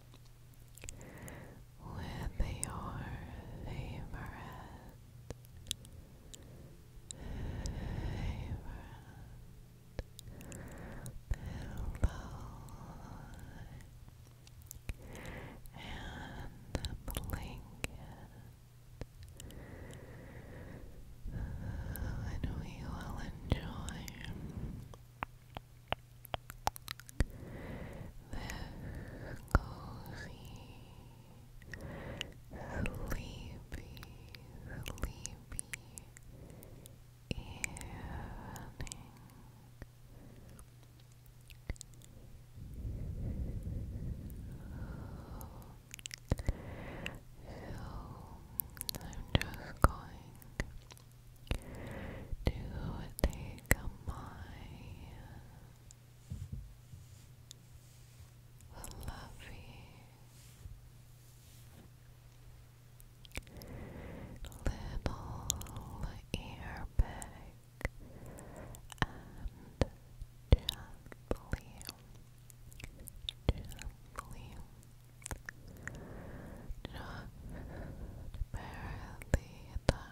with your favorite favorite pillow and blanket and we will enjoy this cozy, sleepy, sleepy evening. So, I'm just going to take my fluffy little ear pick and gently, gently, just barely touch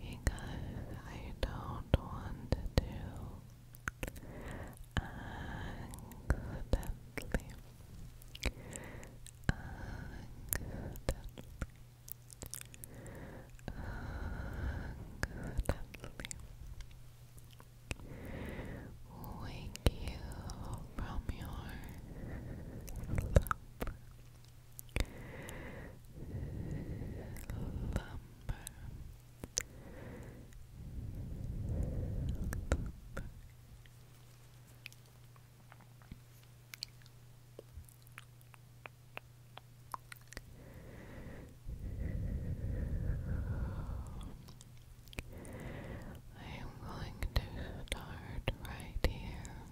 You I don't want to accidentally, accidentally, accidentally wake you from your Lumber. Lumber. I am going to start right here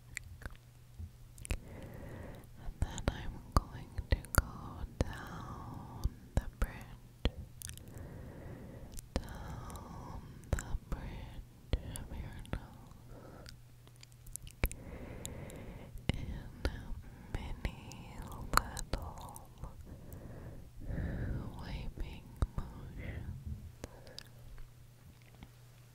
And then I'm going to go down the bridge. Down the bridge of your nose. In many little wiping motions.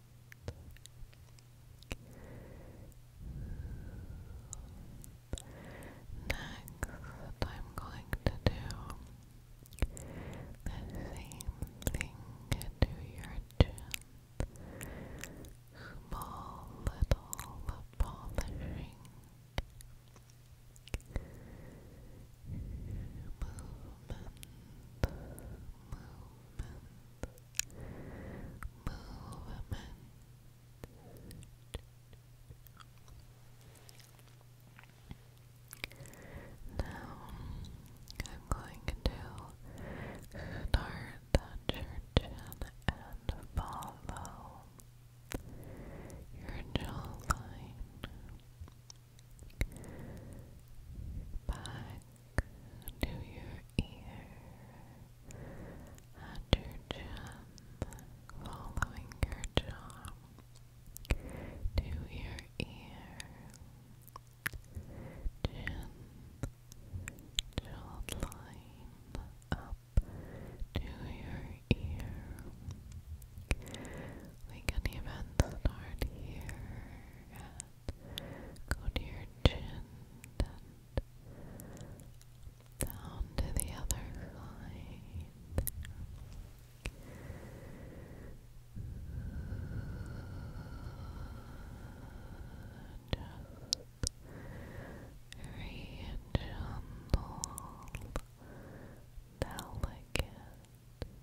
Next, I'm going to do the same thing to your chin. Small little polishing. Movement, movement. Now I'm going to start the and follow your jawline back to your ear and chin, following your jaw to your ear, chin, jawline up to your ear. We can even start here Go to your chin and down to the other side. Just gentle, delicate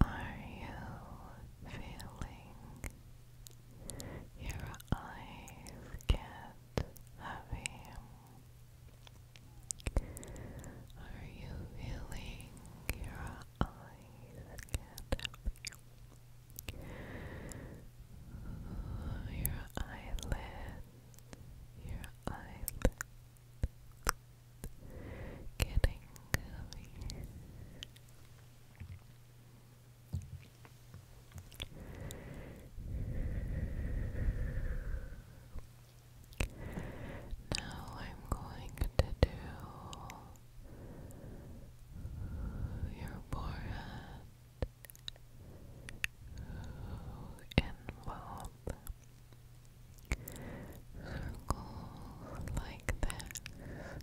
Are you feeling your eyes get heavy? Are you feeling your eyes get your eyelid, your eyelid getting gummy. Now I'm going to do your forehead involve circles like this.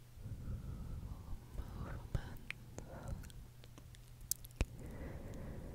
Back and forth movement.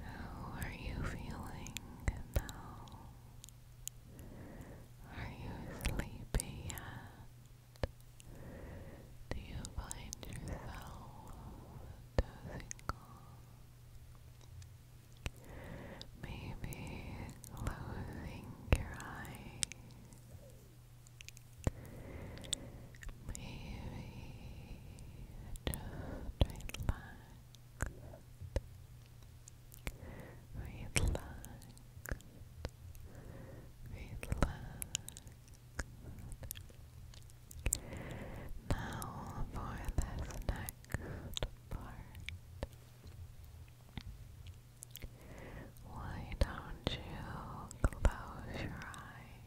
How are you feeling now? Are you sleepy yet? Do you find yourself dozing off? Maybe closing your eyes Maybe just relax, relax, relax. Now for this next part. Why don't you close your eyes?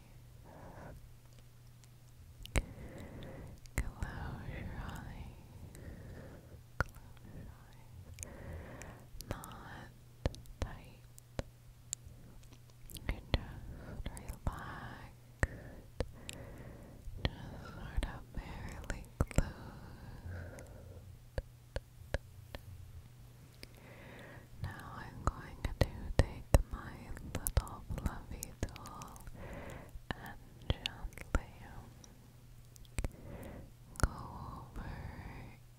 Close your eyes. Close your eyes. Not tight. just relaxed. Just sort of barely closed. Now I'm going to take my little fluffy tool and gently go over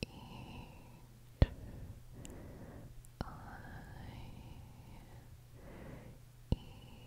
each eye, each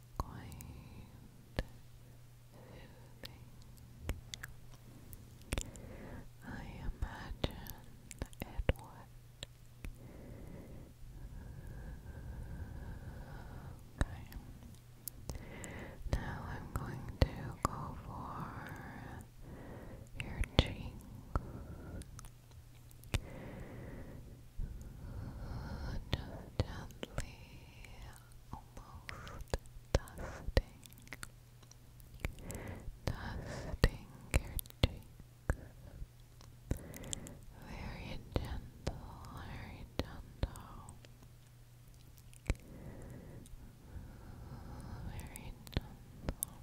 quite soothing. I imagine it would. Now I'm going to go for your cheeks. Just gently, almost dusting, dusting your cheeks. Very gentle, very gentle. Very gentle. Very gentle.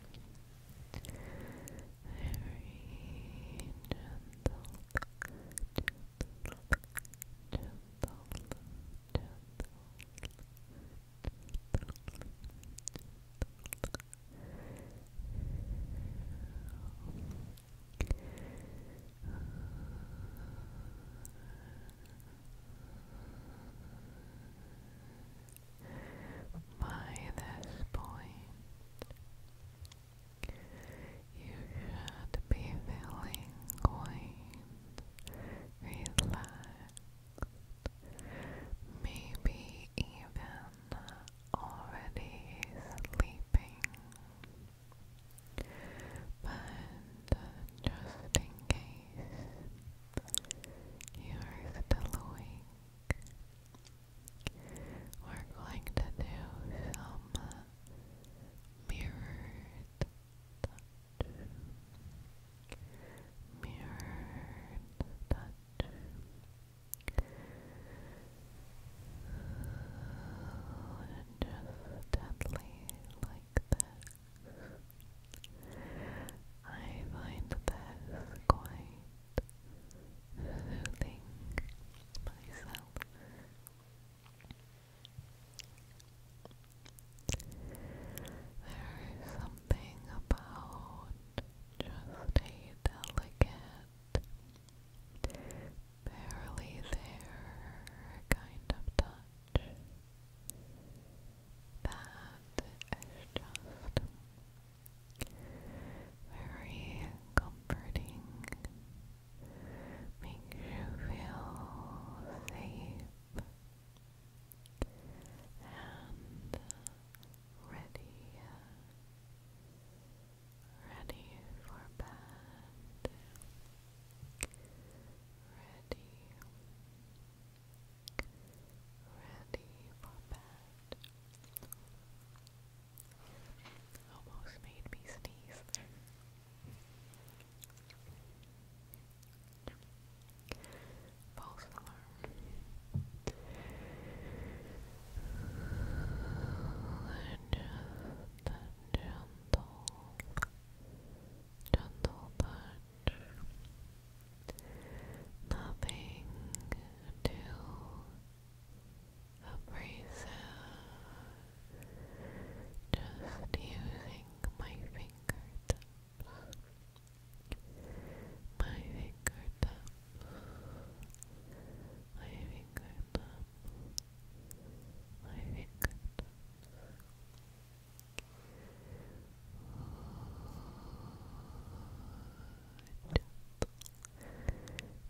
By this point, you should be feeling quite relaxed, maybe even already sleeping. But just in case you're still awake, we're going to do some mirrored uh, Mirrored touch. Just gently like this. I find this quite soothing myself. There is something about just a delicate, barely there kind of touch that is just very comforting make you feel safe and ready, ready for bed, ready, ready for bed. Almost made me sneeze. False alarm. The, gentle, gentle touch. Nothing too a bracelet just using my fingertips. My fingertips. My fingertips. My fingertips.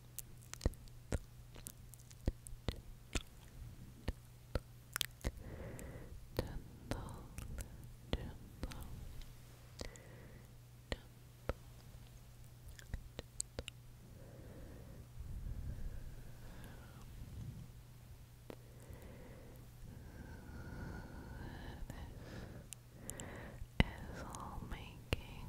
gentle, gentle, all making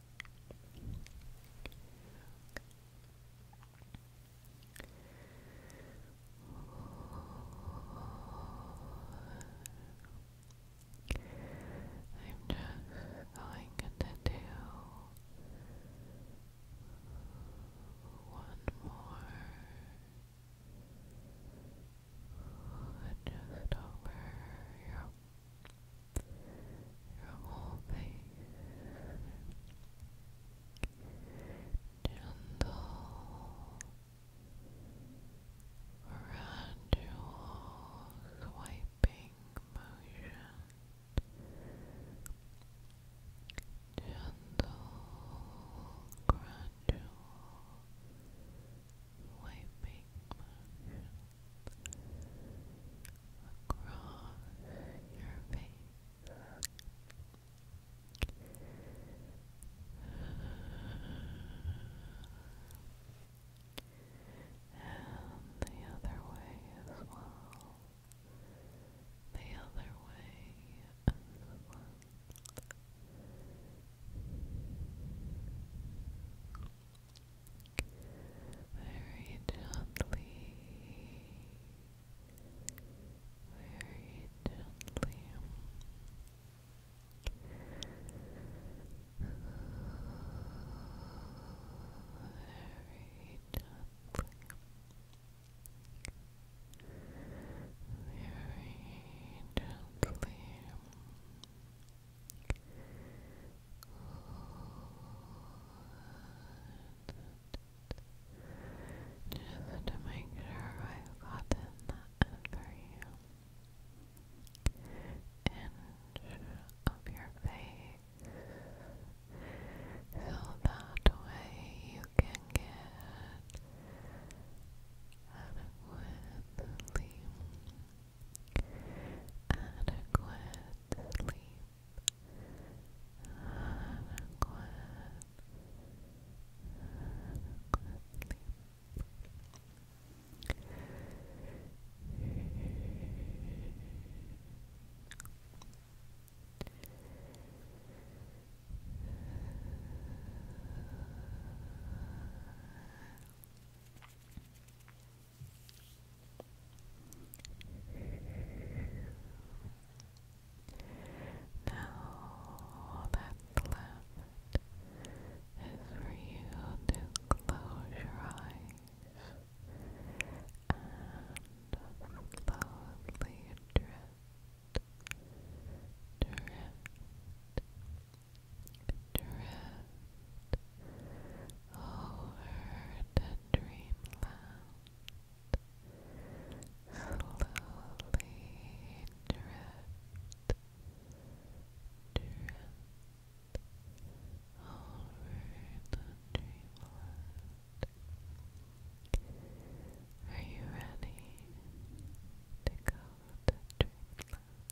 I'm just going to do one more just over your your gentle gradual swiping motion gentle gradual Wiping motion across your face. And the other way as well. The other way as well very gently, very gently. Very gently, very gently, just to make sure I've gotten that you. Inch of your face, so that way you can get adequately. Adequate sleep. Now that's left is for you to close your eyes and slowly drift, drift, drift over the dreamland, slowly drift, drift over the dreamland. Are you ready to go to dreamland?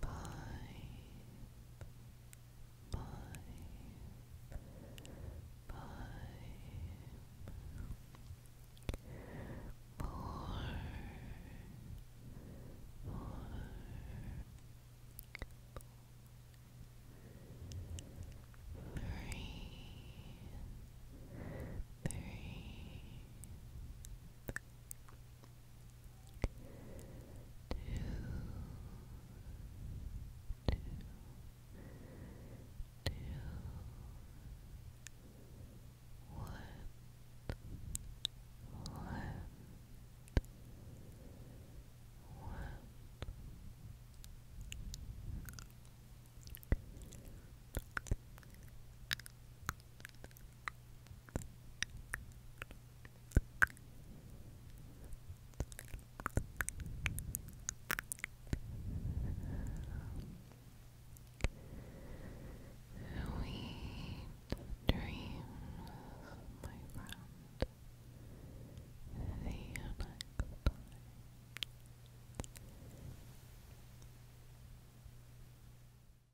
Five, five, five, four, four, three, three, three. Two, two, one, one, one. One, Sweet dreams, my friend. you